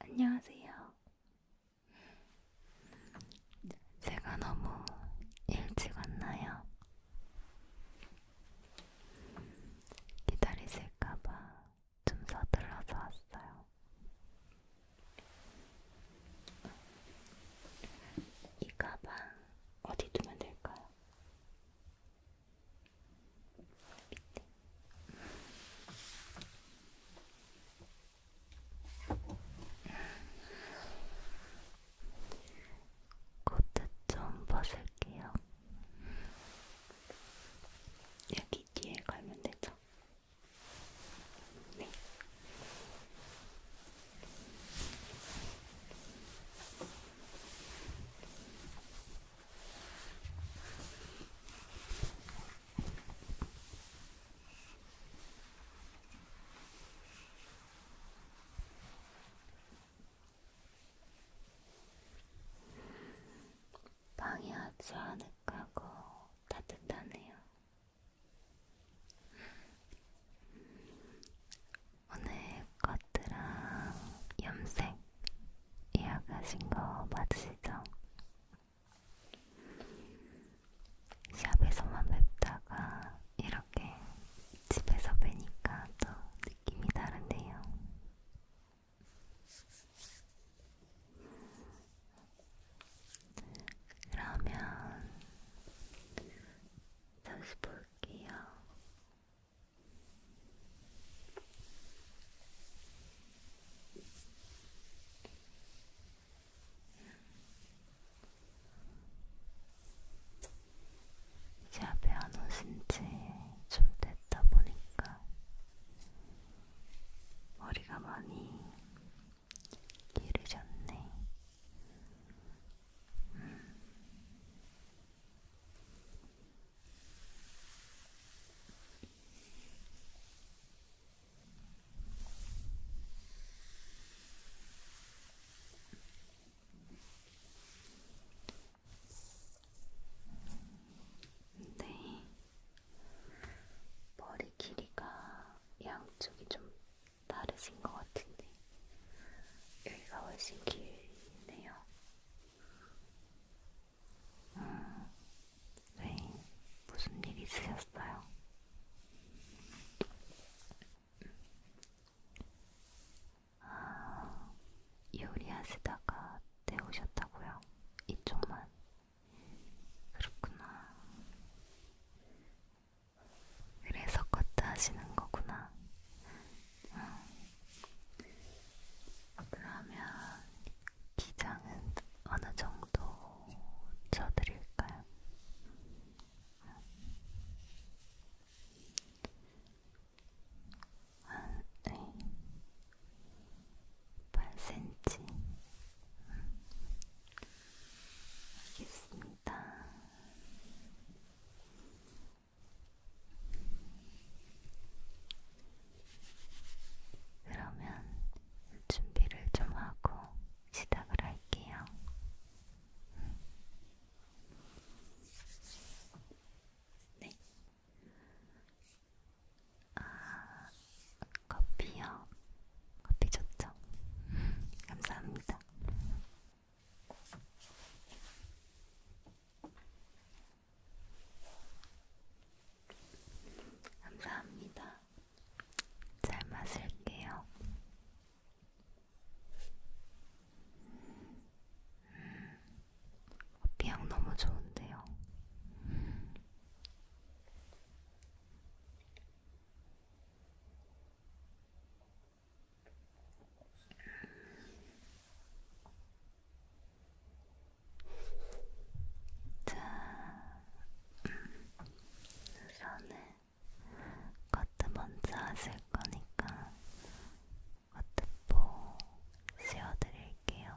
안녕하세요. 제가 너무 일찍 왔나요? 기다리실까봐 좀 서둘러서 왔어요. 이 가방 어디 두면 될까요? 밑에. 코트 좀 벗을게요. 여기 뒤에 걸면 되죠? 네. 방이 아주 아늑하고 따뜻하네요. 오늘 것들랑 염색 예약하신 거 맞으시죠? 샵에서만 뵙다가 이렇게 집에서 뵈니까 또 느낌이 다른데요. 그러면 잠시 볼게요. 이 앞에 안 오신지 좀 됐다 보니까 머리가 많이 길으셨네. 음. 네, 머리 길이가 양쪽이 좀 다르신 것 같은데, 여기가 훨씬 길네요. 음, 네, 무슨 일 있으셨어요? 아, 요리하시다가 데우셨다고요? 이쪽만? 그렇구나. 그래서 커트 하시는 거구나. 음. 그러면 기장은 어느 정도 쳐드릴까요? 한, 네. 8cm. 음. 알겠습니다. 그러면 준비를 좀 하고 시작을 할게요. 네. 아, 커피요. 커피 좋죠? 감사합니다. 감사합니다. 잘 마실게요. 음, 커피향 너무 좋은데요. 음. 음. 자, 음, 우선은 커트 먼저 하실 거니까 커트포 씌워드릴게요.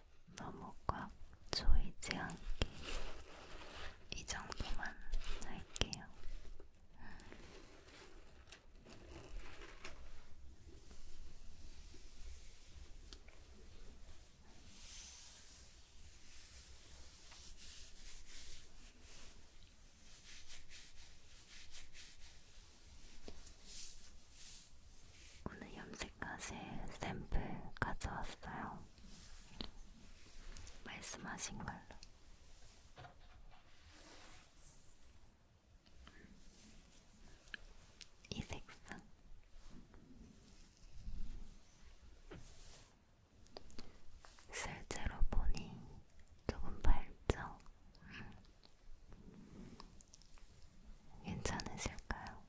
너무 꽉 조이지 않게 이 정도만 할게요. 오늘 염색하실 샘플 가져왔어요. 말씀하신 걸로. 음. 이 색상. 실제로 보니 조금 밝죠? 음. 괜찮으실까요?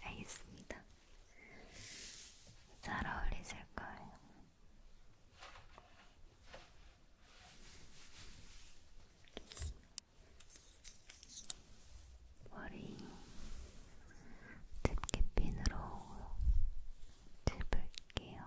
알겠습니다. 잘 어울리실 거예요. 머리 집게핀으로 집을게요.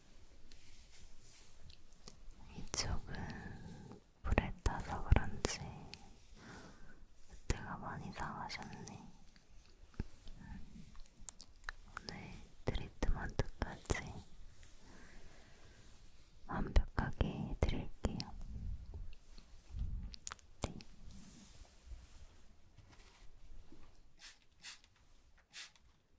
이쪽은 불에 타서 그런지 그때가 많이 상하셨네. 오늘 트리트먼트까지 완벽하게 해드릴게요. 네.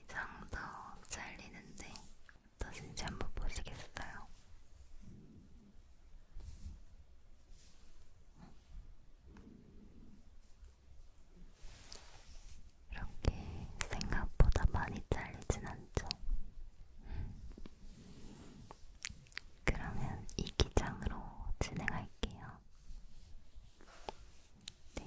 이장도 잘리는데 어떠신지 한번 보시겠어요? 이렇게 생각보다 많이 잘리진 않죠. 그러면 이 기장으로 진행할게요. 네.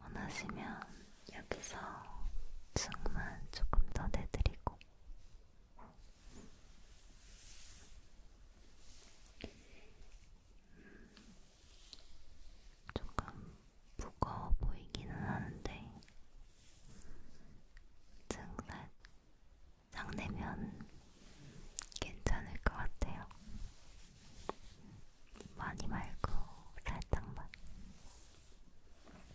원하시면 여기서 층만 조금 더 내드리고 음, 조금 무거워 보이기는 하는데 증살 장내면 괜찮을 것 같아요. 많이 말고 살짝만.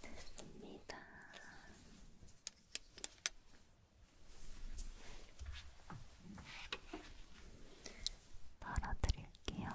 됐습니다. 덜어드릴게요.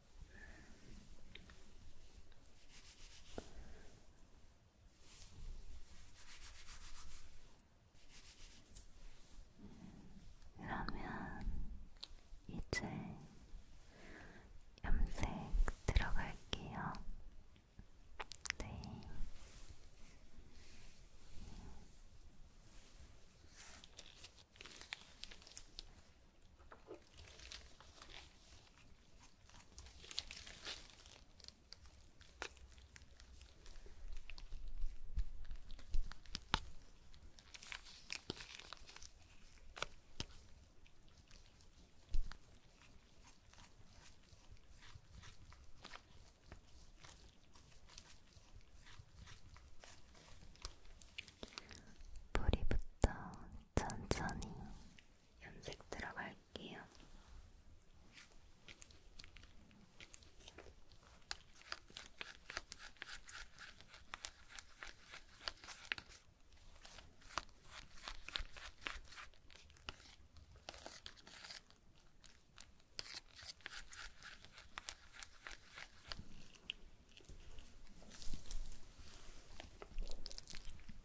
그러면 이제 염색 들어갈게요. 네. 뿌리부터 천천히 염색 들어갈게요.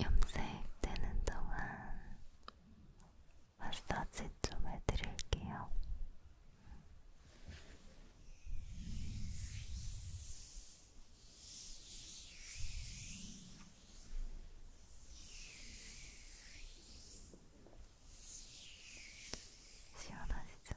염색되는 동안 마사지 좀 해드릴게요. 시원하시죠?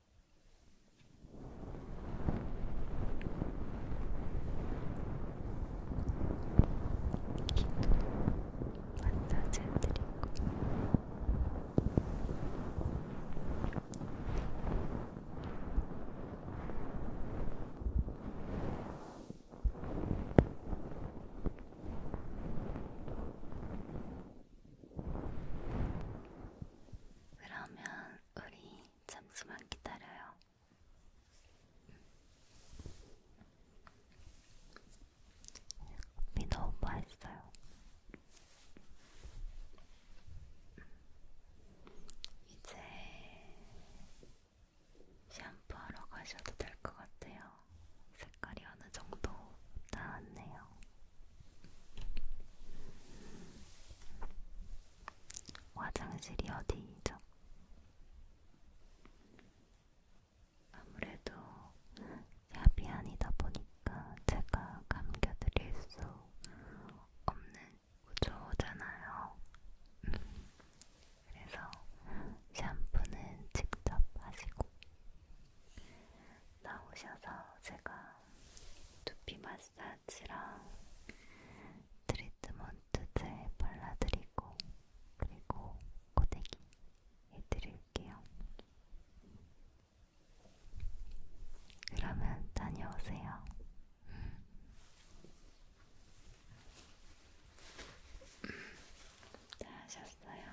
기도 마사지 해드리고 그러면 우리 잠시만 기다려요. 미 너무 맛있어요. 이제 샴푸하러 가셔도 될 것 같아요. 색깔이 어느 정도 나왔네요. 화장실이 어디죠? 아무래도 샵이 아니다 보니까 제가 감겨드릴 수 없는 구조잖아요. 그래서 샴푸는 직접 하시고 나오셔서 제가 두피 마사지 스크래치랑 트리트먼트 젤 발라드리고 그리고 고데기 해드릴게요. 그러면 다녀오세요. 음. 음. 다 하셨어요?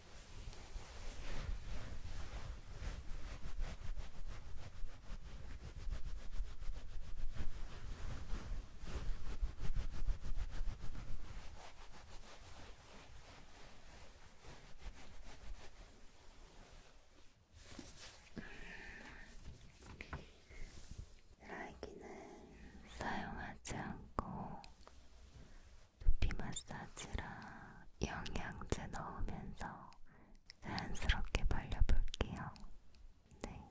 날기는 음, 사용하지 않고 두피 마사지랑 영양제 넣으면서 자연스럽게 발려볼게요. 네.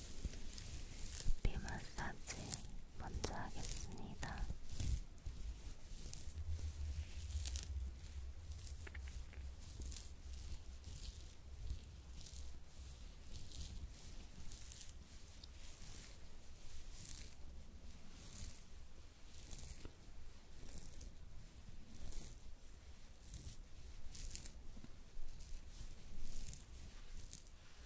두피 마사지 먼저 하겠습니다. 네,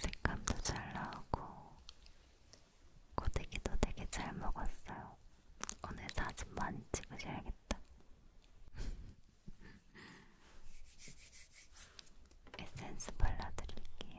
색감도 잘 나오고 고데기도 되게 잘 먹었어요. 오늘 사진 많이 찍으셔야겠다. 에센스 발라드릴게요.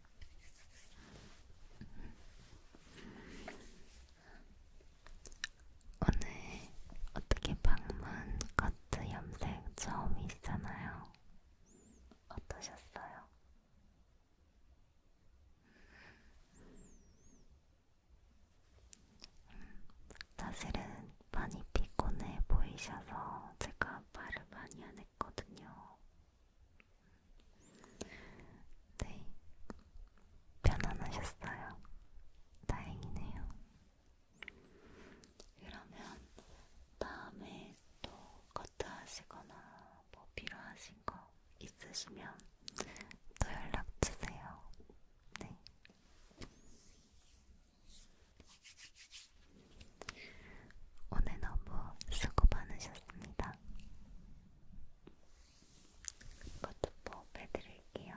오늘 어떻게 방문 커트 염색 처음이시잖아요. 어떠셨어요? 사실은 많이 피곤해 보이셔서 제가 말을 많이 안 했거든요. 네, 편안하셨어요. 다행이네요. 그러면 다음에 또 커트 하시거나 뭐 필요하신 거 있으시면 또 연락 주세요. 네. 오늘 너무 수고 많으셨습니다. 이것도 뽑해드릴게요.